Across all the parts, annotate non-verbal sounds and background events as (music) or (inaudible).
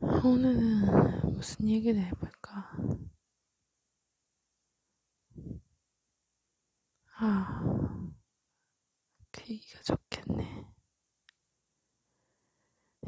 오늘은 무슨 얘기를 해볼까? 아, 그 얘기가 좋겠네.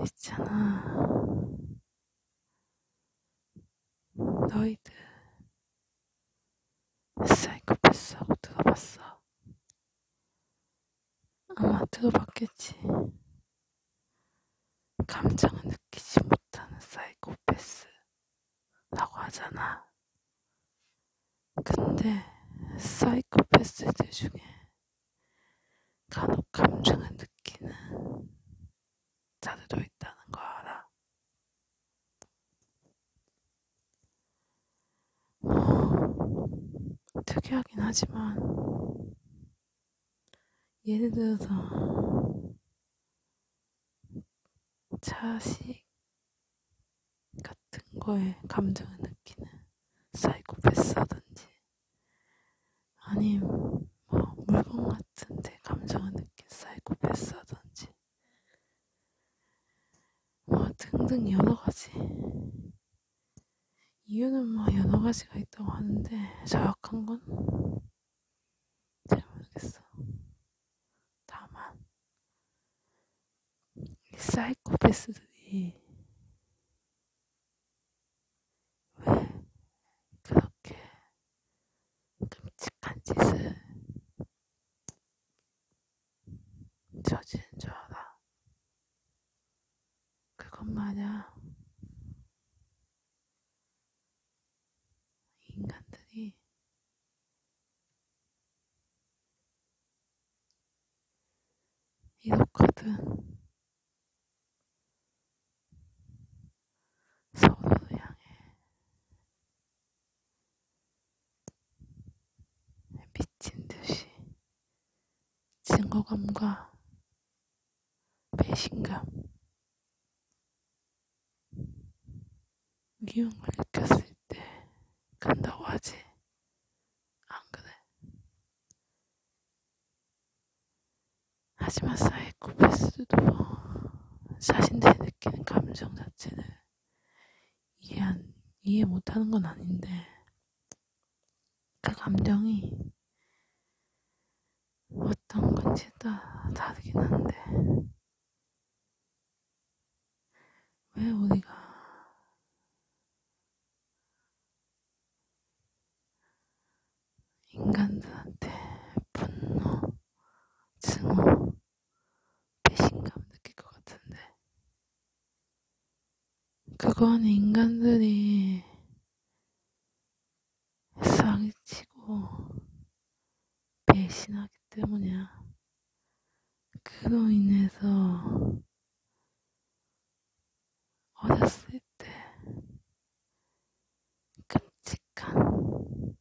있잖아. 너희들 사이코패스하고 들어봤어? 아마 들어봤겠지. 감정을 느끼지 못하는 사이코패스라고 하잖아. 근데 사이코패스들 중에 간혹 감정을 느끼는 자들도 있다는 거 알아. (sighs) 특이하긴 하지만 예를 들어서 자식 같은 거에 감정을 느끼는 사이코패스라든지 아님 뭐 물건 같은데 감정을 느낀 사이코패스라든지 뭐 등등 여러 가지 이유는 뭐 여러 가지가 있다고 하는데 정확한 건 잘 모르겠어. 다만 이 사이코패스들이 왜 그렇게 끔찍한 짓을 저지른 줄 알아. 그건 말야. 인간들이 이렇거든. 서로를 향해 미친 듯이 증오감과 배신감, 미움을 느꼈을 때 간다고 하지. 안 그래? 하지만 사이코패스도 자신들이 느끼는 감정 자체는 이해, 안, 이해 못하는 건 아닌데 그 감정이 어떤 건지 따라 다르긴 한데 왜 우리가 인간들한테 분노, 증오, 배신감 느낄 것 같은데 그건 인간들이 쌍치고 배신하기 때문이야. 그로 인해서 어렸을 때 끔찍한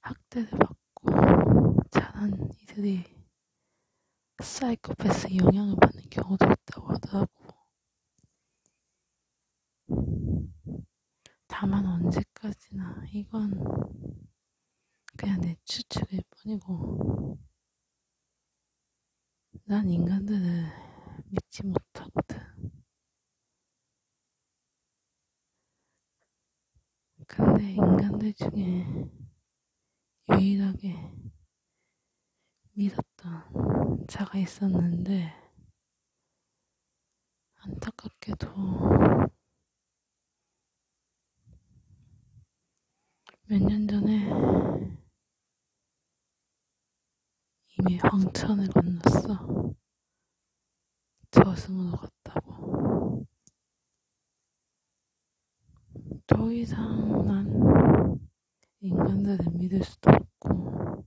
학대를 받고 자란 이들이 사이코패스 영향을 받는 경우도 있다고 하더라고. 다만 언제까지나 이건 그냥 내 추측일 뿐이고 난 인간들을 믿지 못하거든. 근데 인간들 중에 유일하게 믿었던 자가 있었는데 안타깝게도 몇 년 전에 이미 황천을 건넜어. 저승으로 갔다고. 더 이상 난 인간들을 믿을 수도 없고,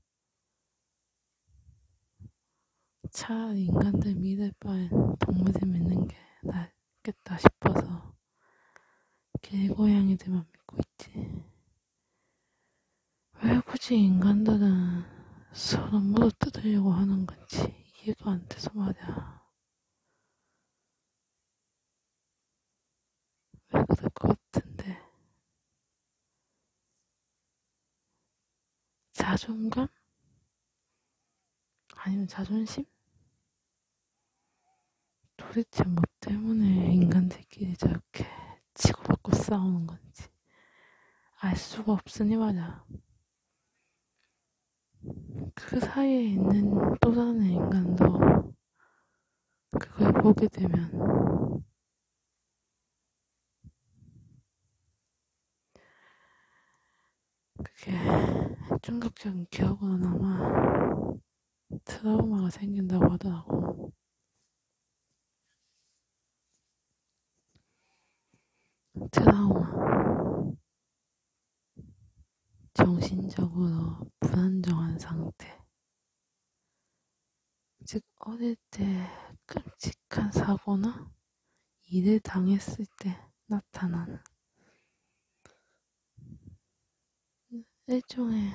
차라리 인간들 믿을 바엔 동물을 믿는 게 낫겠다 싶어서 길고양이들만 믿고 있지. 왜 굳이 인간들은 서로 물어 뜯으려고 하는 건지 이해도 안 돼서 말이야. 왜 그럴 것 같은데. 자존감? 아니면 자존심? 도대체 뭐 때문에 인간들끼리 저렇게 치고받고 싸우는 건지 알 수가 없으니 말이야. 그 사이에 있는 또 다른 인간도 그걸 보게 되면 그게 충격적인 기억으로 남아 트라우마가 생긴다고 하더라고. 트라우마. 정신적으로 불안정한 상태. 즉, 어릴 때 끔찍한 사고나 일을 당했을 때 나타나는 일종의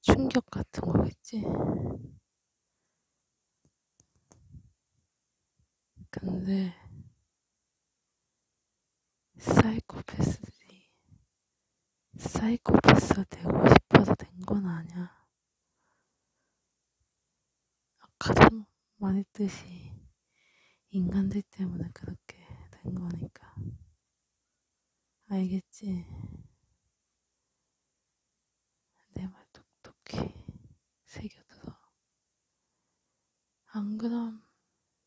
충격 같은 거겠지. 근데 사이코패스들이 사이코패스가 되고 싶어서 된 건 아니야. 아까도 말했듯이 인간들 때문에 그렇게 된 거니까. 알겠지? 내 말 똑똑히 새겨들어. 안 그럼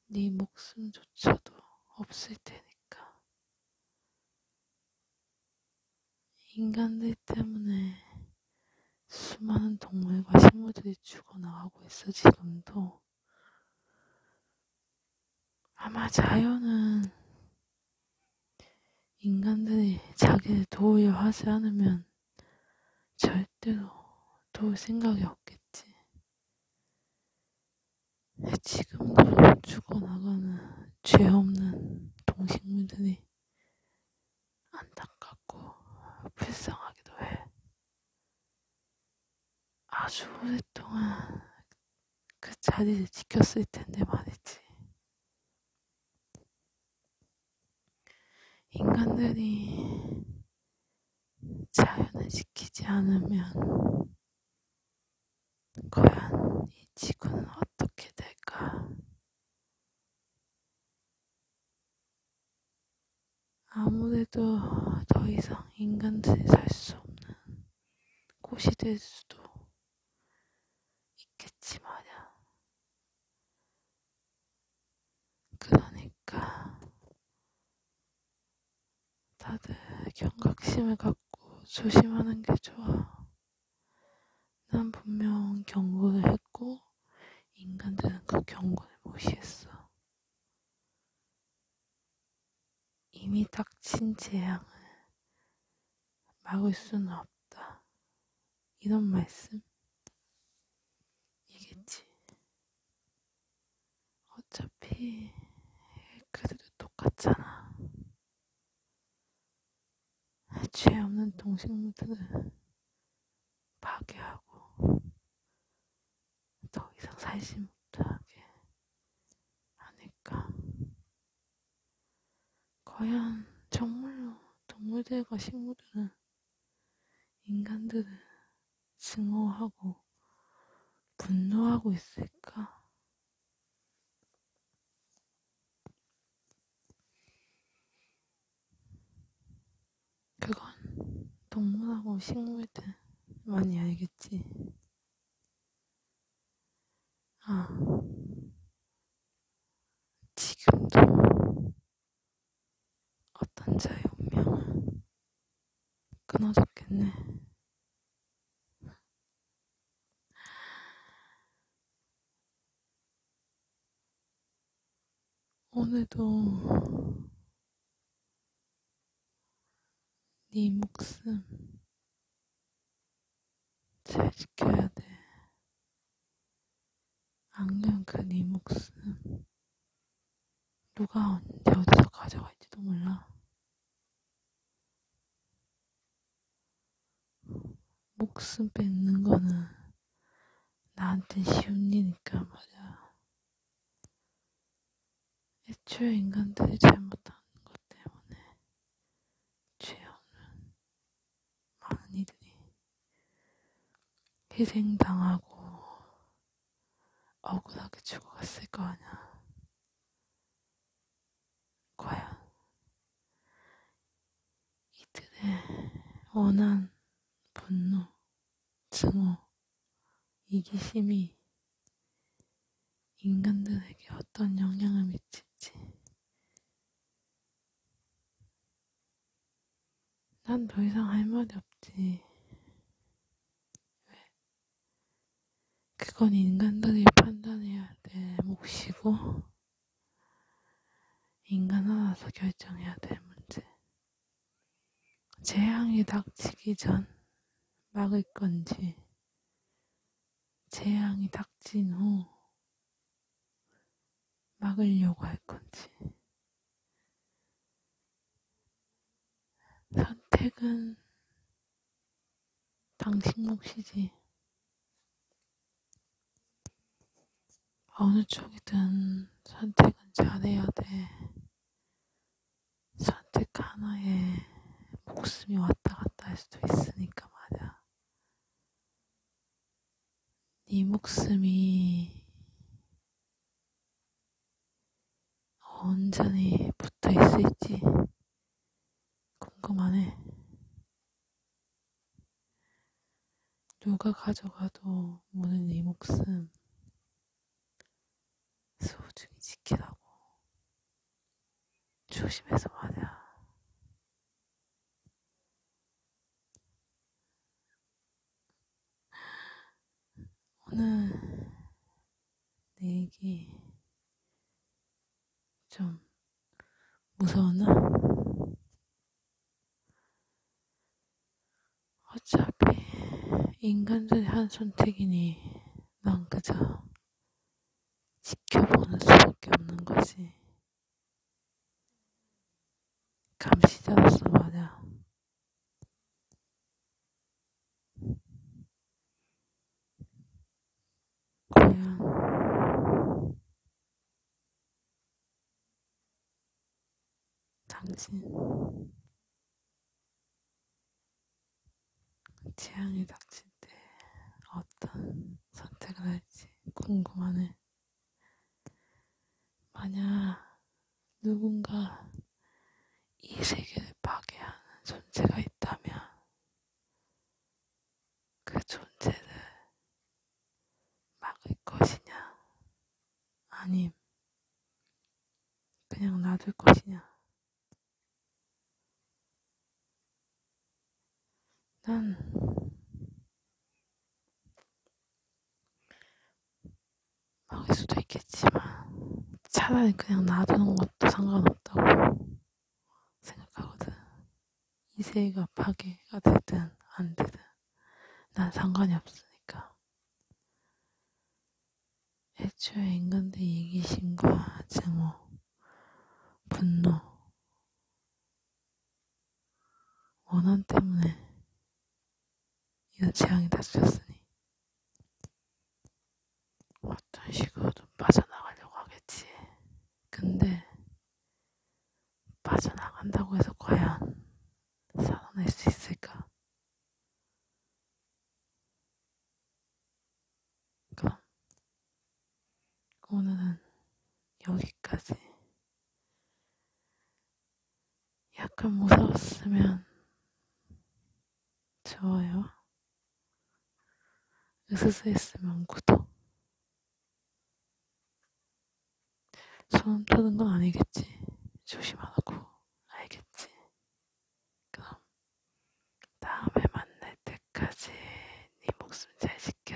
네 목숨조차도 없을 테니까. 인간들 때문에 수많은 동물과 식물들이 죽어나가고 있어, 지금도. 아마 자연은 인간들이 자기를 도우려 하지 않으면 절대로 도울 생각이 없겠지. 지금도 죽어나가는 죄 없는 동식물들이 안타깝고 불쌍하기도 해. 아주 오랫동안 그 자리를 지켰을 텐데 말이지. 인간들이 자연을 지키지 않으면 과연 이 지구는 어떻게 될까? 아무래도 더 이상 인간들이 살 수 없는 곳이 될 수도 있겠지 말야. 그러니까 다들 경각심을 갖고 조심하는 게 좋아. 난 분명 경고를 했고, 인간들은 그 경고를 무시했어. 이미 닥친 재앙을 막을 수는 없다. 이런 말씀? 이겠지. 어차피, 그들도 똑같잖아. 죄 없는 동식물들을 파괴하고 더 이상 살지 못하게 하니까 과연 정말로 동물들과 식물들은 인간들을 증오하고 분노하고 있을까? 그건 동물하고 식물들만이 알겠지. 아, 지금도 어떤 자의 운명은 끊어졌겠네. 오늘도 네 목숨 잘 지켜야 돼. 악년 그네 목숨 누가 언제 어디서 가져갈지도 몰라. 목숨 뺏는 거는 나한텐 쉬운 일이니까 말이야. 애초에 인간들이 잘못하는 것 때문에 죄 없는 많은 이들이 희생당하고 억울하게 죽어갔을 거 아니야. 과연 이들의 원한, 분노, 증오, 이기심이 인간들에게 어떤 영향을 미칠지. 난 더 이상 할 말이 없지. 왜? 그건 인간들이 판단해야 될 몫이고, 인간 하나서 결정해야 될 문제. 재앙이 닥치기 전 막을 건지, 재앙이 닥친 후 막으려고 할 건지. 선택은 당신 몫이지. 어느 쪽이든 선택은 잘해야 돼. 선택 하나에 목숨이 왔다 갔다 할 수도 있으니까 말이야. 네 목숨이 온전히 붙어 있을지. 궁금하네. 누가 가져가도 모든 이 목숨 소중히 지키라고 조심해서 말이야. 오늘 내 얘기 좀 무서웠나? 어차피 인간들이 한 선택이니 난 그저 지켜보는 수밖에 없는 거지. 감시자로서 말야. 과연 당신 재앙이 닥칠 때 어떤 선택을 할지 궁금하네. 만약 누군가 이 세계를 파괴하는 존재가 있다면 그 존재를 막을 것이냐, 아님, 그냥 놔둘 것이냐. 난 망할 수도 있겠지만 차라리 그냥 놔두는 것도 상관없다고 생각하거든. 이세가 파괴가 되든 안 되든 난 상관이 없으니까. 애초에 인간들 이기심과 증오, 뭐. 분노, 원한 때문에 이는 재앙이 닥쳤으니 어떤 식으로든 빠져나가려고 하겠지. 근데 빠져나간다고 해서 과연 살아날 수 있을까? 그럼 그러니까 오늘은 여기까지. 약간 무서웠으면 좋아요. 으스스했으면 구독. 소음 타는 건 아니겠지. 조심하라고. 알겠지. 그럼 다음에 만날 때까지 네 목숨 잘 지켜.